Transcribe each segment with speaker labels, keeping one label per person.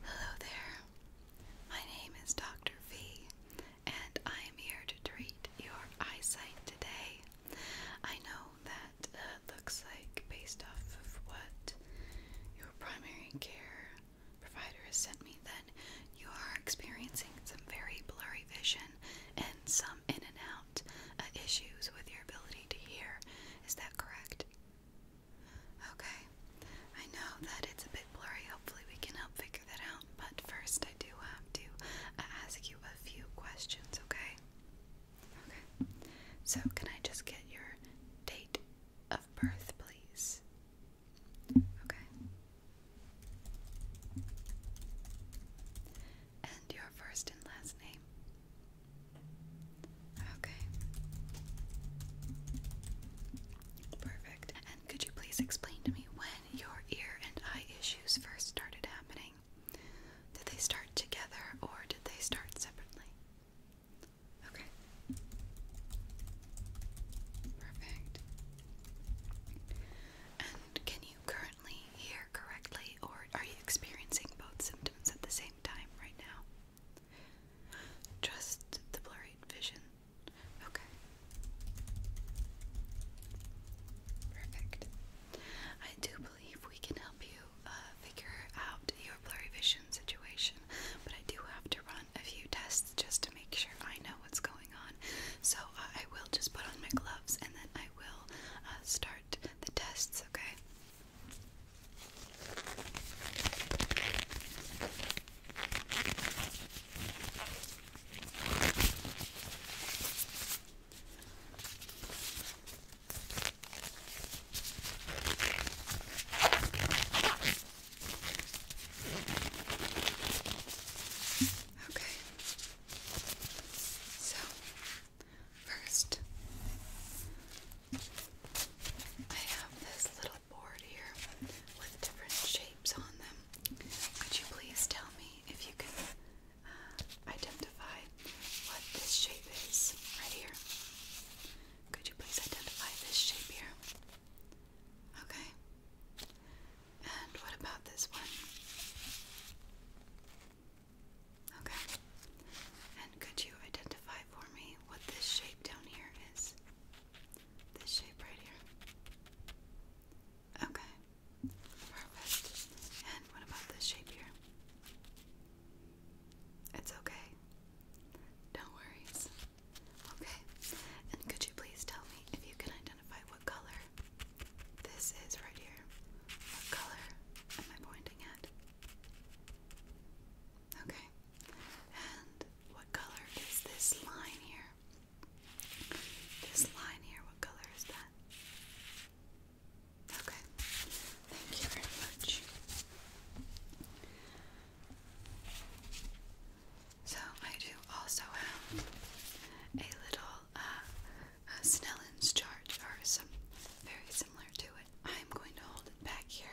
Speaker 1: Hello there. My name is Dr. V, and I am here to treat your eyesight today. I know that uh, looks like, based off of what your primary care provider has sent me, that you are experiencing some very blurry vision and some in and out uh, issues with your ability to hear. Is that correct? Okay, I know that it's a bit blurry. Hopefully, we can help figure that out. But first, I do have to uh, ask you a few questions, okay? Okay, so can I just get your date of birth, please? Okay. And your first and last name? Okay. Perfect. And could you please explain to me when your ear and eye issues first started happening? Did they start together or did they start separately? Okay. Perfect. And can you currently hear correctly or are you experiencing both symptoms at the same time right now? Just the blurry vision. Okay. Perfect. I do believe we can help you uh, figure out your blurry vision situation, but I do have to run a few tests just to make sure I know what's going on. So uh, I will just put on my gloves and then I will uh, start the tests, okay? Okay. So, first, I have this little board here with different shapes on them. Could you please tell me if you can uh, identify what this shape is right here? Could you please identify this shape here? Okay. And what about this one? Okay. And could you identify for me what this shape down here is? This shape right here. Okay. Perfect. And what about this shape here? It's okay. No worries. Okay. And could you please tell me if you can identify what color this is right here? What color am I pointing at? Okay. And what color is this line here? This line here, what color is that? Okay, thank you very much. So, I do also have a little uh, chart or some very similar to it. I'm going to hold it back here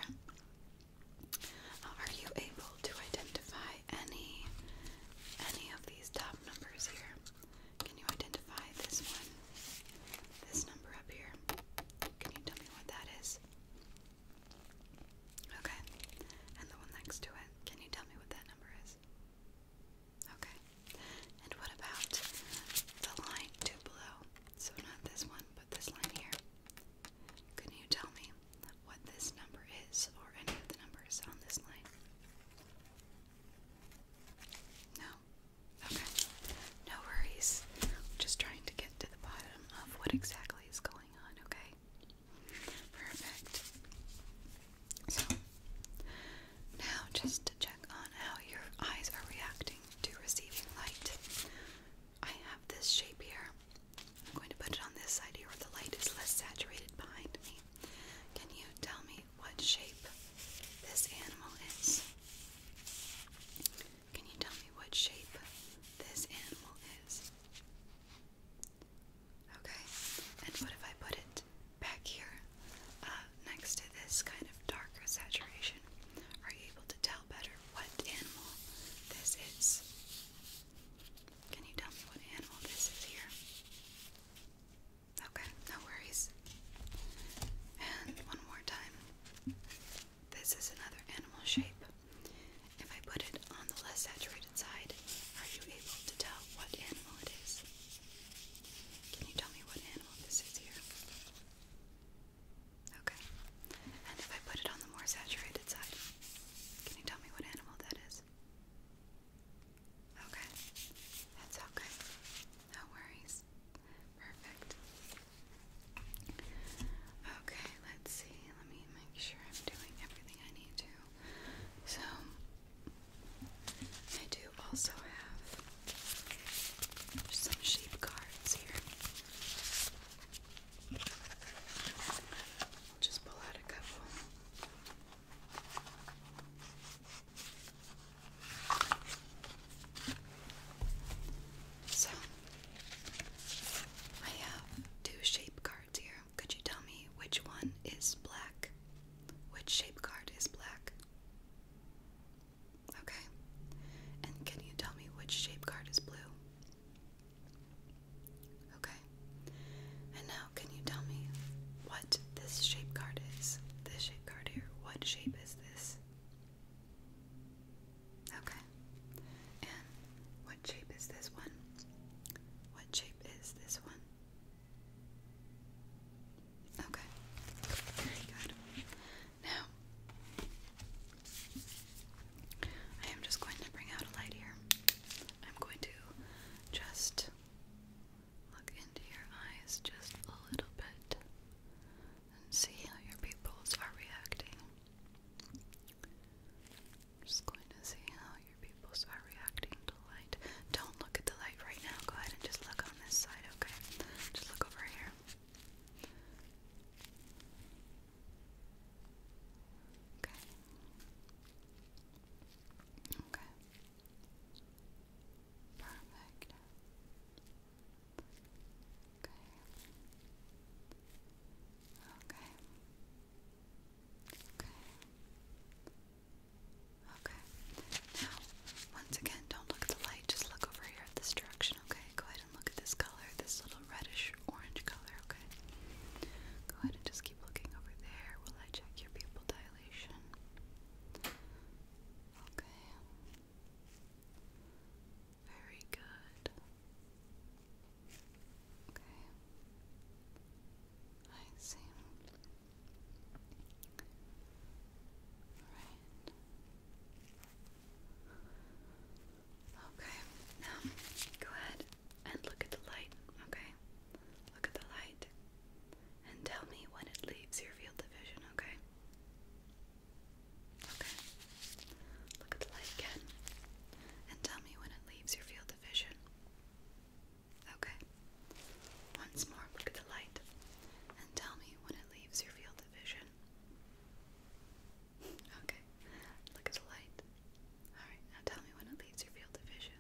Speaker 1: are you able to identify any any of these top numbers here? Can you identify this one? This number up here? Can you tell me what that is? Okay. And the one next to it. Can you tell me what that number is? Okay. And what about the line two below? So not this one, but this line here. Can you tell me what this number is or any of the numbers on this line? No? Okay. No worries. just trying to get to the bottom of what exactly is going on, okay? Perfect. So, now just to check on how your eyes are reacting to receiving light. I have this shape here. I'm going to put it on this side here where the light is less saturated behind me. Can you tell me what shape this animal is? Can you tell me what shape this animal is? Okay, and what if I put it back here uh, next to this kind of darker saturation? Are you able to tell better what animal this is. Can you tell me what animal this is here? Okay, no worries. And one more time. This is another animal shape. If I put it on the less saturated side, are you able to tell what animal it is? Can you tell me what animal this is here? Okay. And if I put it on the more saturated side, can you tell me what animal that is? Okay. That's okay. No worries. Perfect. Okay, let's see. Let me make sure I'm doing everything I need to. So, I do also have some sheep cards here just pull out a couple. So, I have two shape cards here. Could you tell me which one is black? Which shape card is black? Okay. And can you tell me which shape card is blue? Okay. And now, can you tell me what this shape card is? This shape card here. What shape is this? Okay. And what shape is this one? What shape is this one? Okay. Very good. Now, I am just going to bring out a light here. I'm going to just look into your eyes just a little bit and see how your pupils are reacting. just going to see how your pupils are reacting to light. Don't look at the light right now. Go ahead and just look on this side, okay? Just look over here. Okay. Okay. Perfect. Okay. Okay. Okay. Okay. Now, once again, don't look at the light, just look over here at this direction, okay? go ahead and look at this color, this little reddish orange color, okay? Go ahead and just keep looking over there while I check your pupil dilation. Okay. Very good. Okay. I see. Alright. Okay, now go ahead and look at the light, okay? Look at the light and tell me when it leaves your field of vision, okay? Okay, look at the light again and tell me when it leaves your field of vision. Okay, once more, look at the light and tell me when it leaves your field of vision. Okay, look at the light. Alright, now tell me when it leaves your field of vision.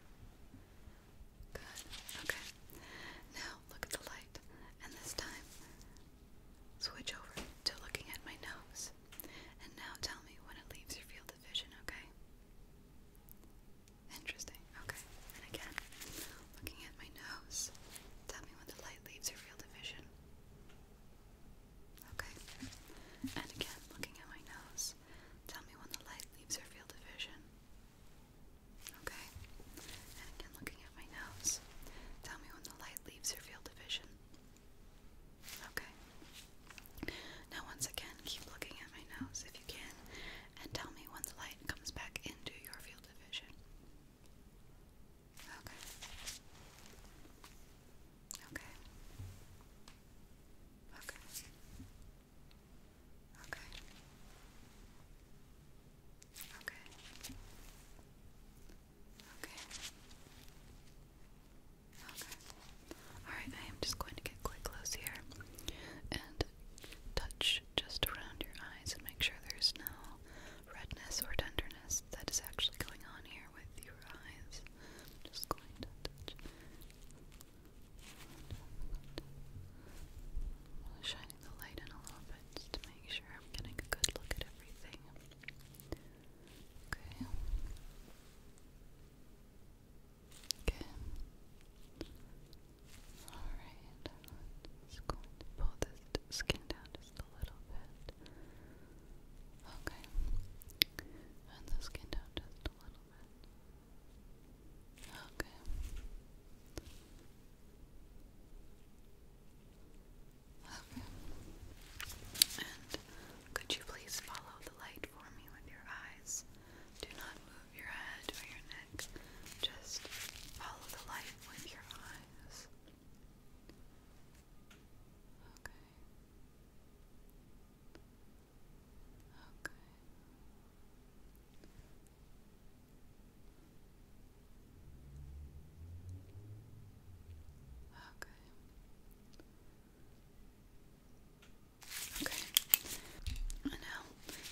Speaker 1: Good, okay. Now look at the light, and this time switch over to looking at my nose. And now tell me when it leaves your field of vision, okay? Interesting, okay. And again, looking at my nose, tell me when the light leaves your field of vision. Okay. And again, looking at my nose, tell me when the light leaves your field of vision. Okay. And again, looking at my nose, tell me when the light leaves your field of vision. Okay. Now, once again, keep looking at my nose if you can, and tell me when the light comes back into your field of vision. Okay. Okay. Okay. Okay. Okay. Okay. Okay. Alright, I am just going to get quite close here and touch just around your eyes and make sure there's no redness or tenderness that is actually going on here with your eyes. I'm just going to shining the light in a little bit just to make sure I'm getting a good look at everything. Okay. Okay. Alright, just going to pull this skin down just a little bit it. Okay. And the skin down just a little bit. Okay. Okay. And could you please follow the light for me with your eyes? Do not move your head or your neck. Just follow the light with your eyes. Okay. Okay. Okay. Okay. And now,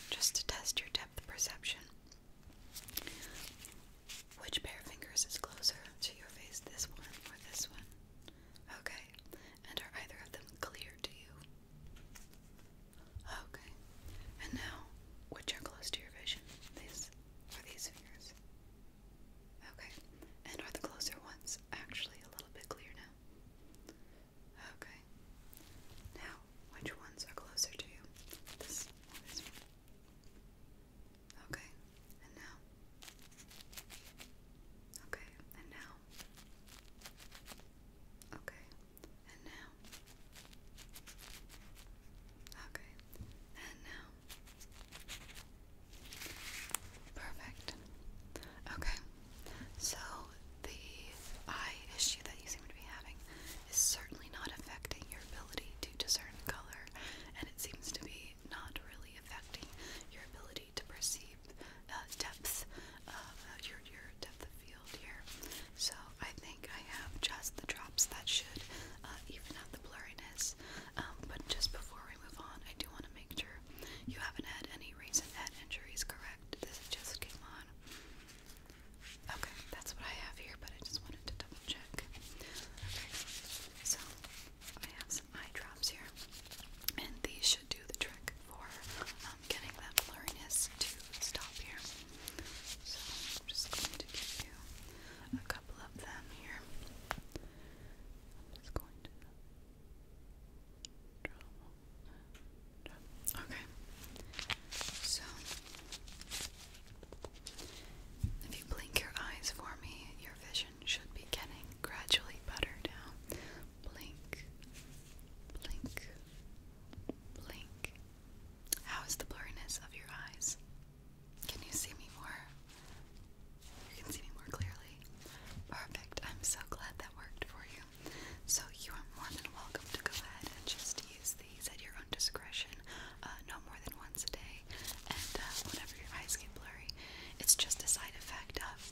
Speaker 1: just to test your depth perception, which pair of fingers is closer to your face, this one or this one? Okay. And are either of them clear to you? Okay. And now, which are close to your vision? These or these fingers? Okay. And are the closer ones actually a little bit clear now? Okay. Now, which ones are closer to you? This or this one? Okay, and now. Okay, and now. Okay, and now. Okay, and now. Perfect. Okay, so the eye issue that you seem to be having is certainly not affecting your ability to discern color, and it seems to be not really affecting your ability to perceive uh, depth, uh, uh, your your depth of field here. So I think I have just the drops that should even out the blurriness. Um, but just before we move on, I do want to make sure you haven't had any recent head injuries, correct? This just came on. Okay, that's what I have here, but I just wanted to double check. Okay, so I have some eye drops here, and these should do the trick for um, getting that blurriness to stop here. So I'm just going to give you a couple of them here. I'm just going to draw. Okay. So if you blink your eyes for me, your vision should be getting gradually better now. Blink, blink, blink. How is the blurriness of your eyes? Can you see me more? You can see me more clearly. Perfect. I'm so glad that worked for you. So, you are more than welcome to go ahead and just use these at your own discretion, uh, no more than once a day and uh, whenever your eyes get blurry, it's just a side effect of.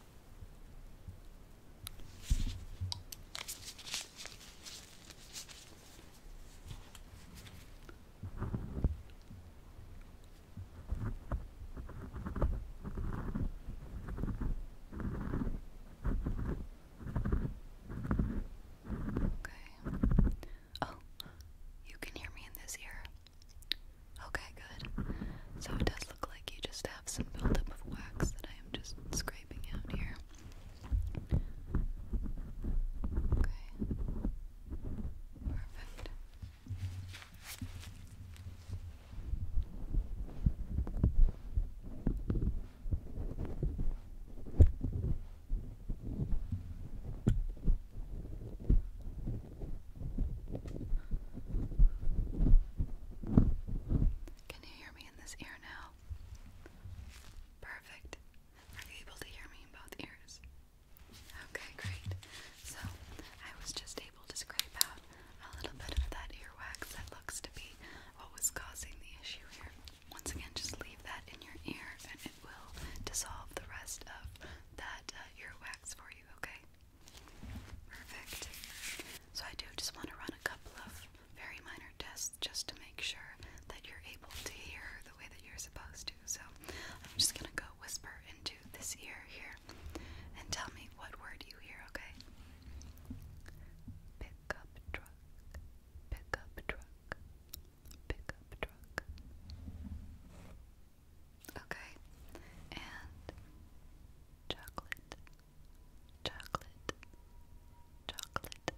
Speaker 1: Okay. Oh, you can hear me in this ear. Okay, good. So it does look like you just have some buildup of wax that I am just scraping out here. Okay. Perfect. Can you hear me in this ear now? Perfect. Are you able to hear me in both ears? Okay, great. So, I was just able to scrape out a little bit of that earwax that looks to be what was causing the issue here. Once again, just leave that in your ear and it will dissolve the rest of that uh, earwax for you, okay? Perfect. So I do just want to run a couple of very minor tests just to make sure that you're able to hear the way that you're supposed to. So I'm just going to go whisper into this ear here and tell me what word you hear, okay? Pick truck. Pick truck. Pick truck. Okay. And chocolate. Chocolate. Chocolate.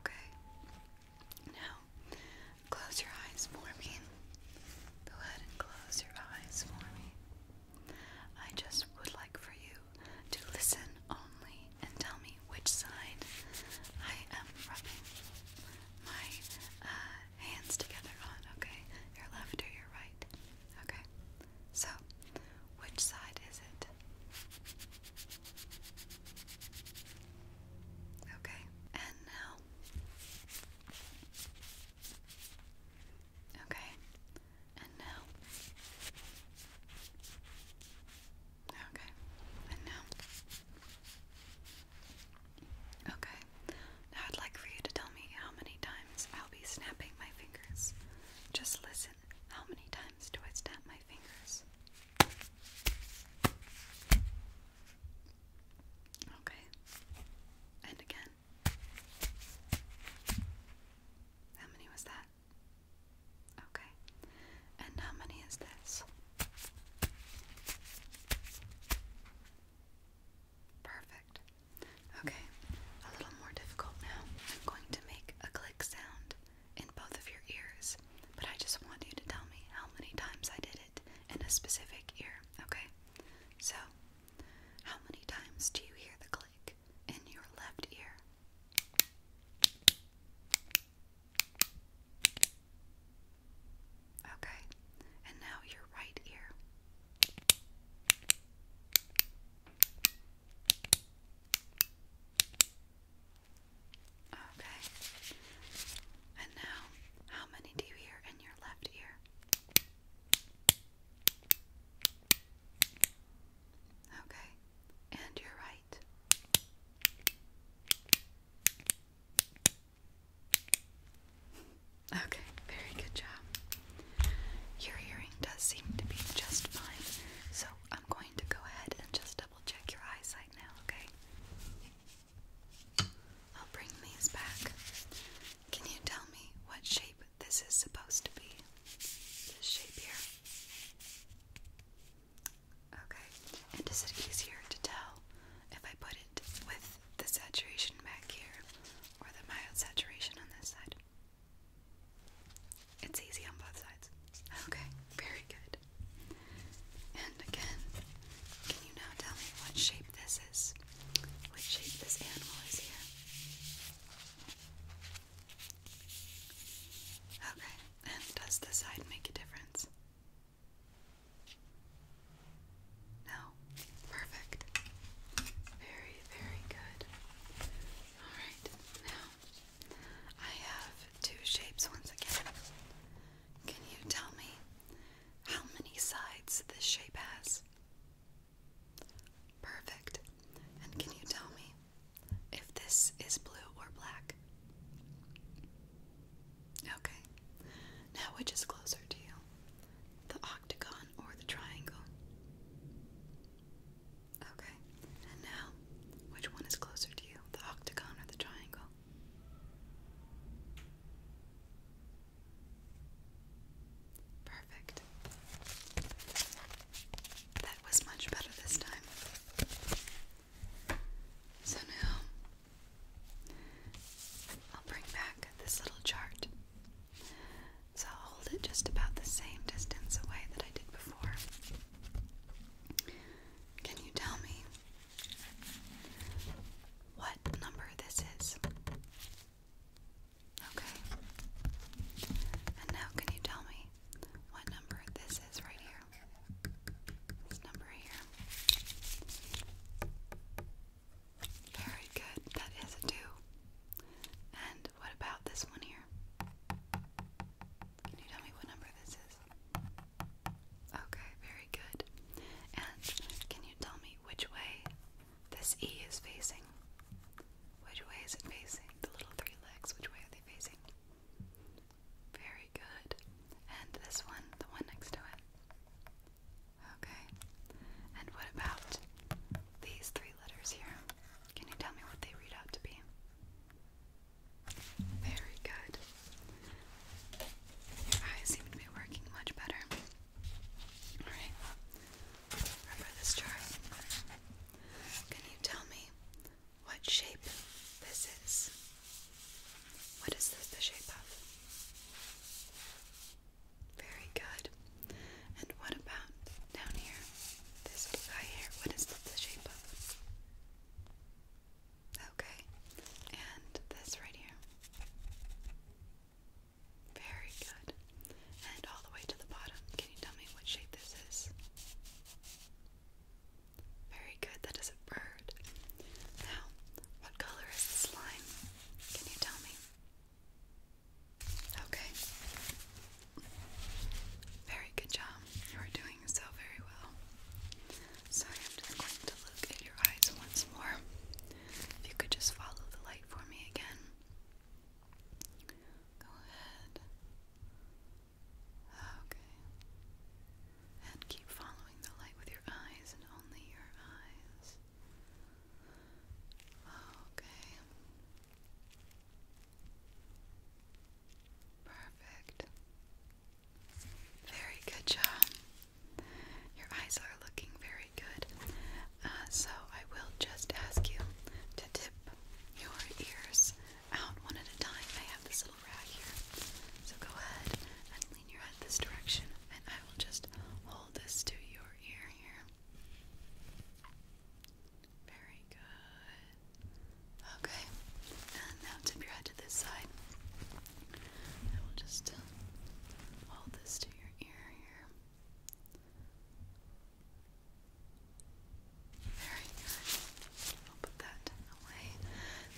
Speaker 1: Okay. Now, close your eyes for me. Go ahead and close your eyes for me. I just would like for you to listen only and tell me which side I am rubbing my uh, hands together on, okay? Your left or your right. Okay. So, which side is it? Okay. And now. Okay. And now. Okay. And now. Okay, now I'd like for you to tell me how many times I'll be snapping my fingers. Just listen. How many times do I snap my fingers? Okay, and again. How many was that? Okay, and how many is this? Perfect. Okay, a little more difficult now. I'm going to make a click sound in both of your ears, but I just want you to tell me how many times I did it in a specific ear, okay? So, how many times do you hear the click in your left ear? Okay, and now your right ear. Okay, and now how many do you hear in your left ear? Okay, and your right. Okay, very good job. Your hearing does seem to be just fine, so I'm going to go ahead and just double check your eyesight now, okay? I'll bring these back. Can you tell me what shape this is supposed to be? This shape here? Okay, and is it easier to tell if I put it with the saturation back here or the mild saturation on this side. It's easy on both sides. Okay, very good. And again, can you now tell me what shape this is? What shape this animal is here? Okay, and does the side make a difference? No? Perfect. Very, very good. Alright, now I have two shapes once again. Can you tell me how many sides this shape has? Perfect. And can you tell me if this is blue or black? Okay. Now, which is closer to you? the octagon, or the triangle? Okay, and now, which one is closer to you, the octagon or the triangle? Perfect. That was much better this time. So now I'll bring back this little chart so I'll hold it just about the same distance away that I did before. Can you tell me what number this is? Okay. And now can you tell me what number this is right here? This number here. Very good. That is a two. And what about this one here? Can you tell me what number this is? Okay, very good. And can you tell me which way this E is facing? Which way is it facing? The little three legs, which way are they facing? Very good. And this one, the one next to it? Okay. And what about these three letters here? Can you tell me what they read out to be? Very good. Your eyes seem to be working much better. Alright. Remember this chart? Can you tell me what shape this is? What is this the shape of? Very good. And what about down here? This guy here. What is the shape of? Okay. And this right here. Very good. And all the way to the bottom. Can you tell me what shape this is? Very good. That is a bird. Now, what color is the slime? Can you tell me? Okay. Very good job. You are doing so very well. So I'm just going to look at your eyes once more. If you could just follow the light for me again. Go ahead. Okay. And keep following the light with your eyes and only your eyes. Okay. Perfect. Very good job. Your eyes are looking very good. Uh, so I will just ask you to tip your ears out one at a time. I have this little rag here. So go ahead and lean your head this direction, and I will just hold hold this to your ear here. Very good. Okay, and now tip your head to this side. I will just hold uh, this to your ear here. Very good. I'll put that away.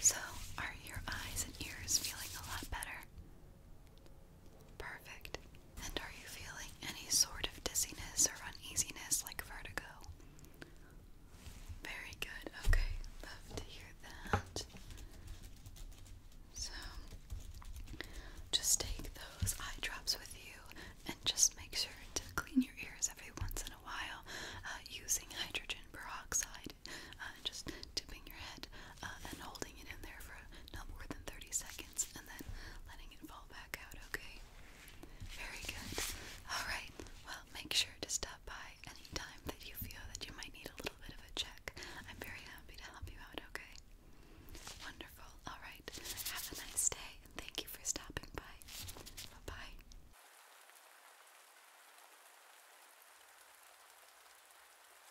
Speaker 1: So, are your eyes and ears feeling a lot better? Perfect. And are you feeling any sort of dizziness or uneasiness like vertigo? Very good. Okay, love to hear that. So, just take those eye drops with you and just make sure to clean your ears every once in a while uh, using hydrogen peroxide. Uh, uh, just dipping your head uh, and holding it in there for not more than 30 seconds and then letting it fall back out, okay? Very good. Alright, well, make sure to stop by anytime that you feel that you might need a little bit of a check. I'm very happy to help you out, okay? Wonderful. Alright, have a nice day and thank you for stopping by. Bye bye.